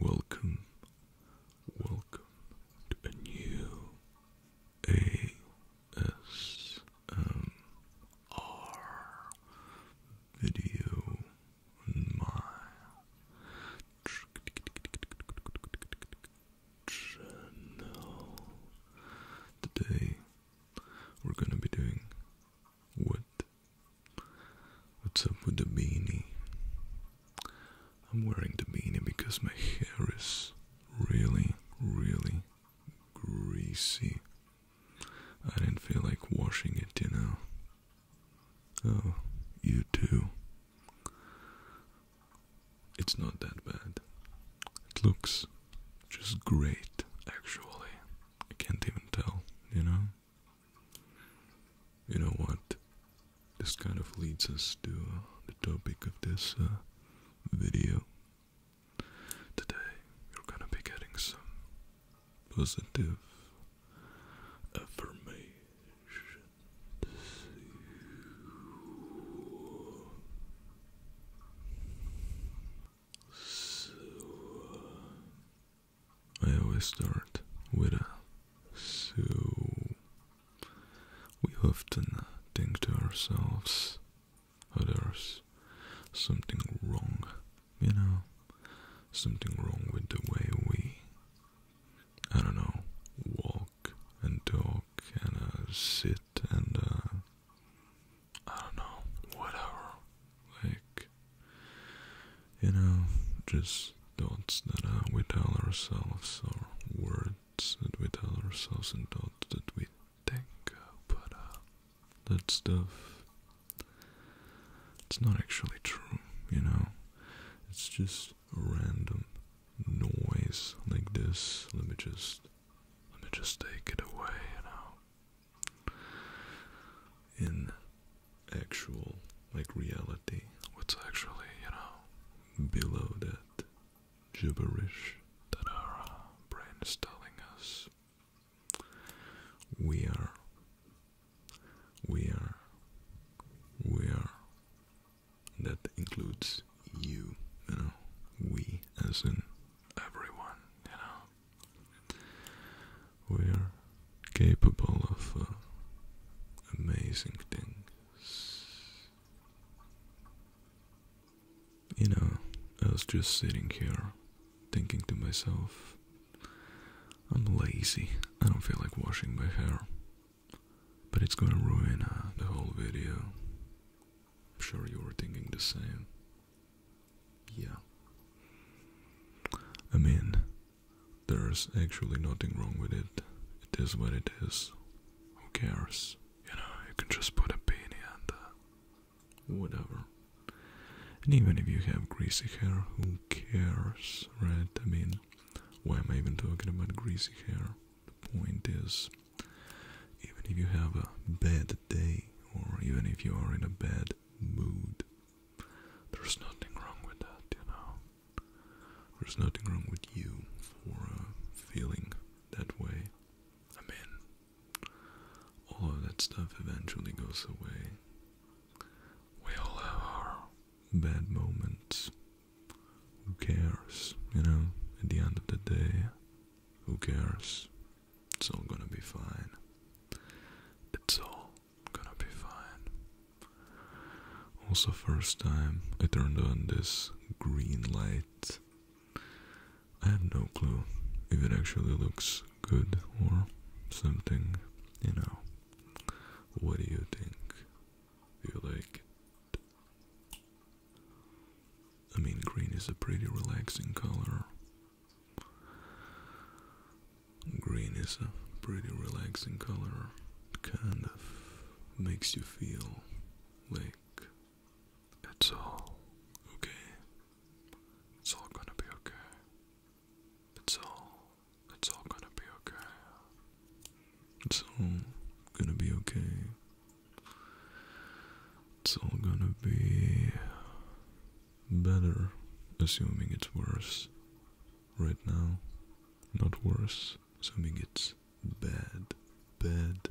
welcome, welcome to a new ASMR video on my channel. Today we're gonna be doing what? What's up with the beanie? I'm wearing the beanie because my hair is really, really greasy. I didn't feel like washing it, you know. Oh, you too it's not that bad. It looks just great, actually. I can't even tell, you know? You know what? This kind of leads us to uh, the topic of this uh, video. Today, you're gonna be getting some positive affirmation. So, I always start with a so. We often think to ourselves, oh, there's something wrong, you know, something wrong with the way we, I don't know, walk and talk and uh, sit and uh, I don't know, whatever. Like you know, just thoughts that uh, we tell ourselves or words that we tell ourselves and thoughts that we think but uh, that stuff it's not actually true, you know. It's just random noise like this. Let me just let me just take it away now. In actual, like reality, what's actually, you know, below that gibberish that our uh, brain is telling us. We are, we are, we are that includes you, you know, we as in everyone, you know. We are capable of uh, amazing things. You know, I was just sitting here thinking to myself, I'm lazy, I don't feel like washing my hair. But it's gonna ruin uh, the whole video. I'm sure you were thinking the same. Yeah. I mean, there's actually nothing wrong with it. It is what it is. Who cares? You know, you can just put a beanie and uh, whatever. And even if you have greasy hair, who cares, right? I mean, why am I even talking about greasy hair? The point is, even if you have a bad day, or even if you are in a bad mood, there's nothing wrong with that, you know. There's nothing wrong with you for uh, feeling that way. I mean, all of that stuff eventually goes away. We all have our bad moments, who cares? You know, at the end of the day, who cares? It's all gonna be fine. It's all gonna be fine. Also, first time I turned on this green light. I have no clue if it actually looks good or something, you know. What do you think? Do you like it? I mean, green is a pretty relaxing color. Green is a pretty relaxing color. Kind of makes you feel like it's all okay. It's all gonna be okay. It's all, it's all gonna be okay. It's all gonna be okay. It's all gonna be better, assuming it's worse. Right now, not worse, assuming it's bad, bad,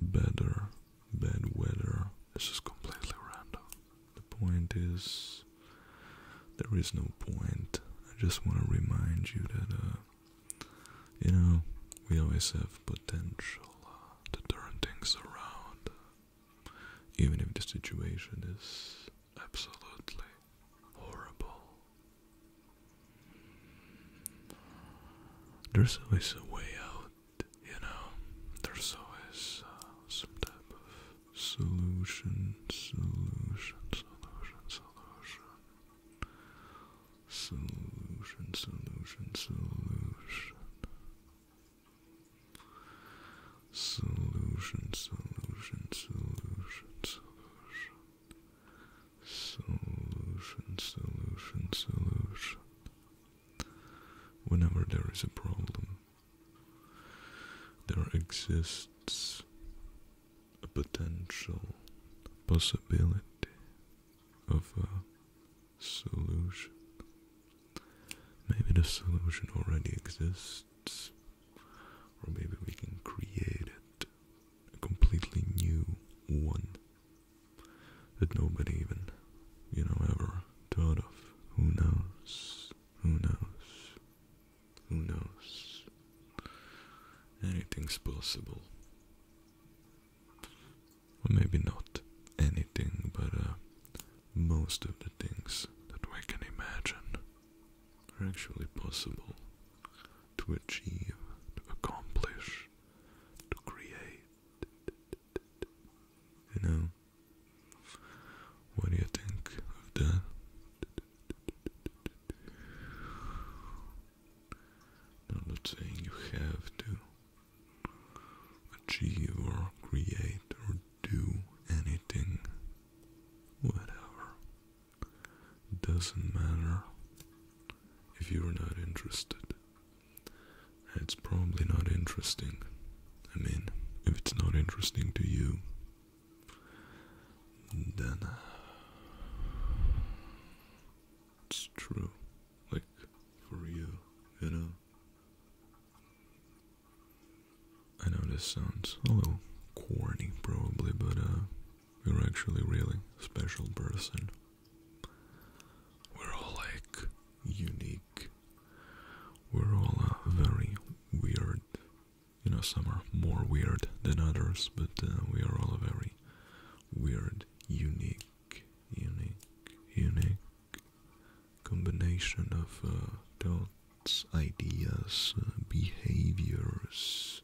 better, bad weather. This is completely random. The point is, there is no point. I just want to remind you that uh, you know, we always have potential uh, to turn things around, even if the situation is absolutely horrible. There's always a way out, you know, there's always uh, some type of solution, solution, solution, solution. Solution, solution, solution. Solution, solution, solution, solution. Solution, solution, solution. Whenever there is a problem, there exists a potential possibility of a solution. Maybe the solution already exists, or maybe we can create it a completely new one that nobody even, you know, ever thought of. Who knows? Who knows? Who knows? Anything's possible. Well, maybe not anything, but uh, most of the things that we can imagine are actually possible to achieve, to accomplish, to create. You know? What do you think of that? I'm not saying you have to achieve or create or do anything. Whatever. Doesn't matter if you're not interested. It's probably not interesting. I mean, if it's not interesting to you, then uh, it's true. Like for you, you know. I know this sounds a little corny probably, but uh you're actually really special person. We're all like unique. We're all uh, very weird you know, some are more weird than others, but uh, we are all a very weird, unique, unique, unique combination of uh, thoughts, ideas, uh, behaviors,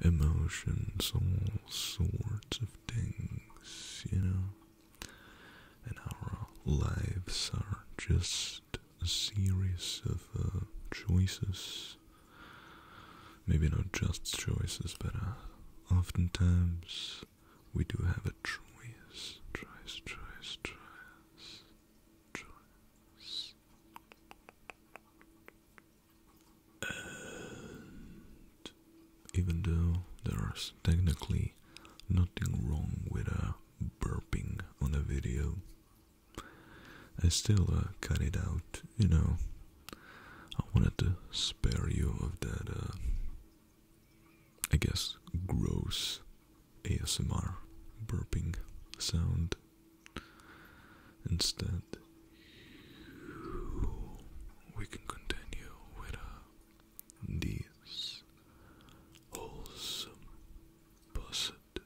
emotions, all sorts of things, you know. And our lives are just a series of choices maybe not just choices, but uh, oftentimes we do have a choice, choice, choice, choice, choice. And even though there is technically nothing wrong with a uh, burping on a video, I still uh, cut it out, you know. I wanted to spare you of that, uh, I guess, gross ASMR burping sound. Instead, we can continue with uh, these wholesome, positive,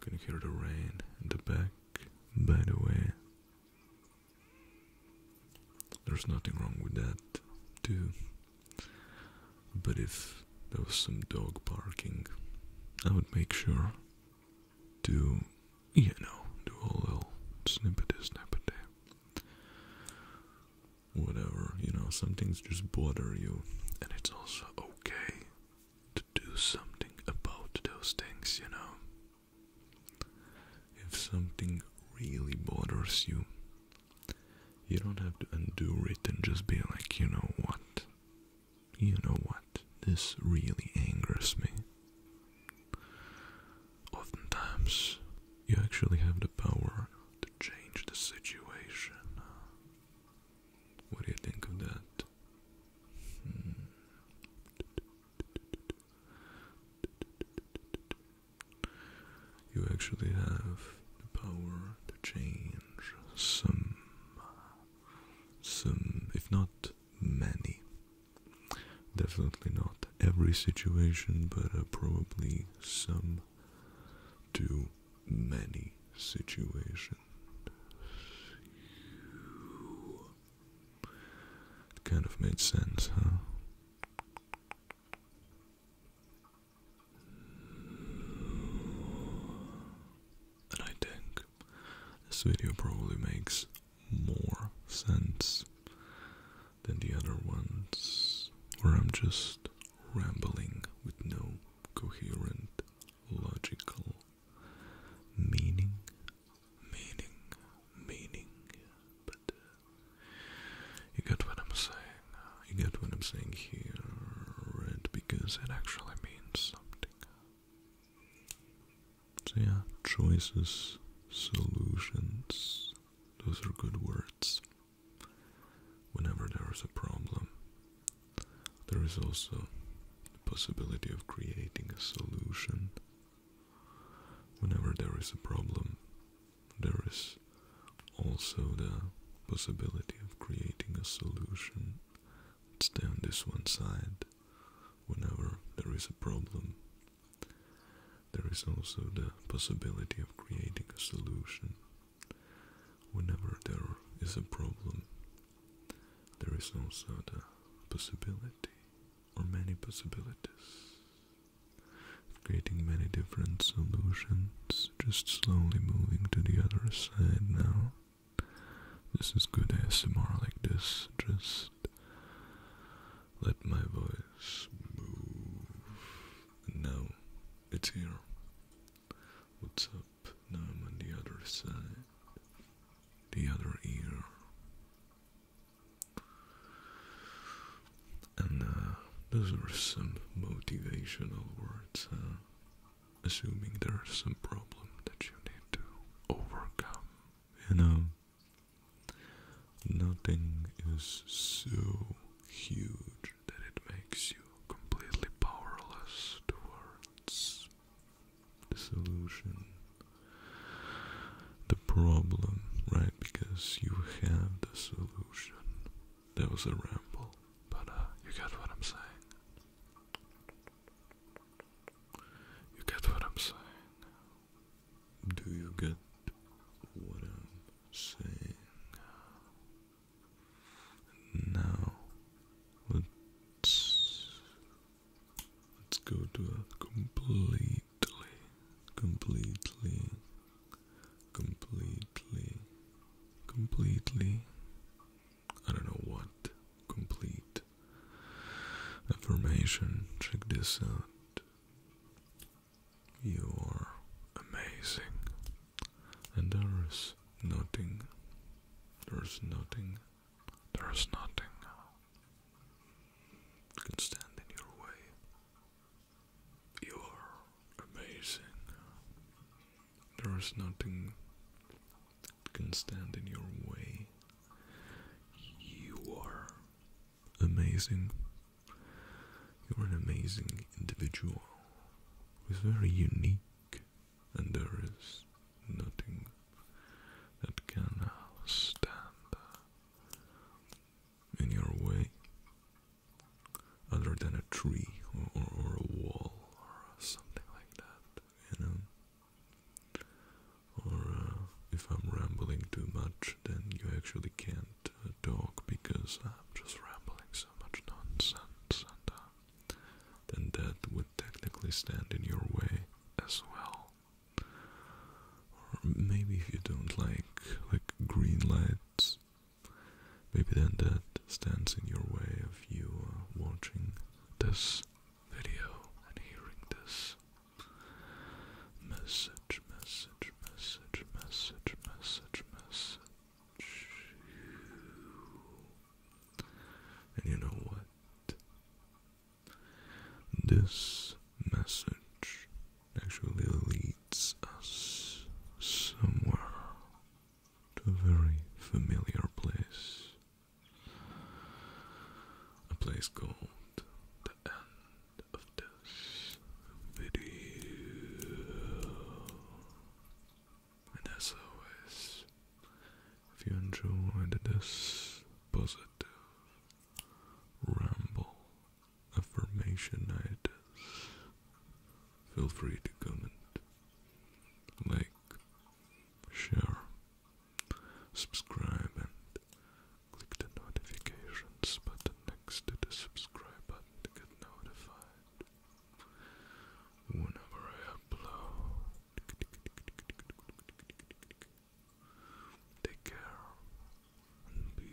Gonna hear the rain in the back, by the way. There's nothing wrong with that, too. But if there was some dog barking, I would make sure to you know, do a little snippety snappity. Whatever, you know, some things just bother you, and it's also okay to do something about those things, you know. If something really bothers you, you don't have to undo it and just be like, you know what, you know what, this really angers me. Oftentimes, you actually have the power to change the situation. What do you think of that? Hmm. You actually have the power to change some, some, if not many, Definitely not every situation, but uh, probably some too many situations. It kind of made sense, huh? And I think this video probably makes more sense than the other ones, where I'm just rambling with no coherent logical meaning, meaning, meaning. But uh, you get what I'm saying. You get what I'm saying here, and Because it actually means something. So yeah, choices, solutions, those are good words. Whenever there is a problem, there is also the possibility of creating a solution. Whenever there is a problem, there is also the possibility of creating a solution. Stay on this one side. Whenever there is a problem, there is also the possibility of creating a solution whenever there is a problem. There is also the possibility, or many possibilities, of creating many different solutions, just slowly moving to the other side now. This is good ASMR like this, just let my voice move. And now it's here. What's up? Now I'm on the other side, the other ear. And uh, those are some motivational words, Assuming there are some problems that you need to overcome, you know. Nothing is so huge that it makes you completely powerless towards the solution, the problem, right? Because you have the solution. That was a ramble, but uh, you get what I'm saying. You get what I'm saying. Do you get what I'm saying? Now, let's let's go to a completely, completely, completely, completely. I don't know what complete affirmation. Check this out. You are amazing, and there is nothing, there's nothing, there's nothing can stand in your way. You are amazing. There is nothing can stand in your way. You are amazing. You're an amazing individual who's very unique, and there is nothing that can stand in your way other than a tree or, or a wall or something like that, you know. Or uh, if I'm rambling too much, then you actually can't uh, talk because I'm just rambling so much nonsense, and uh, then that would technically stand in your way as well. Or maybe if you don't like like green lights, maybe then that stands in your way of you watching this video and hearing this Message, message, message, message, message, message. And you know what? This message actually leads us somewhere to a very familiar place a place called the end of this video. And as always, if you enjoyed this positive ramble affirmation ideas, feel free to comment, like, share, subscribe and click the notifications button next to the subscribe button to get notified whenever I upload. Take care and be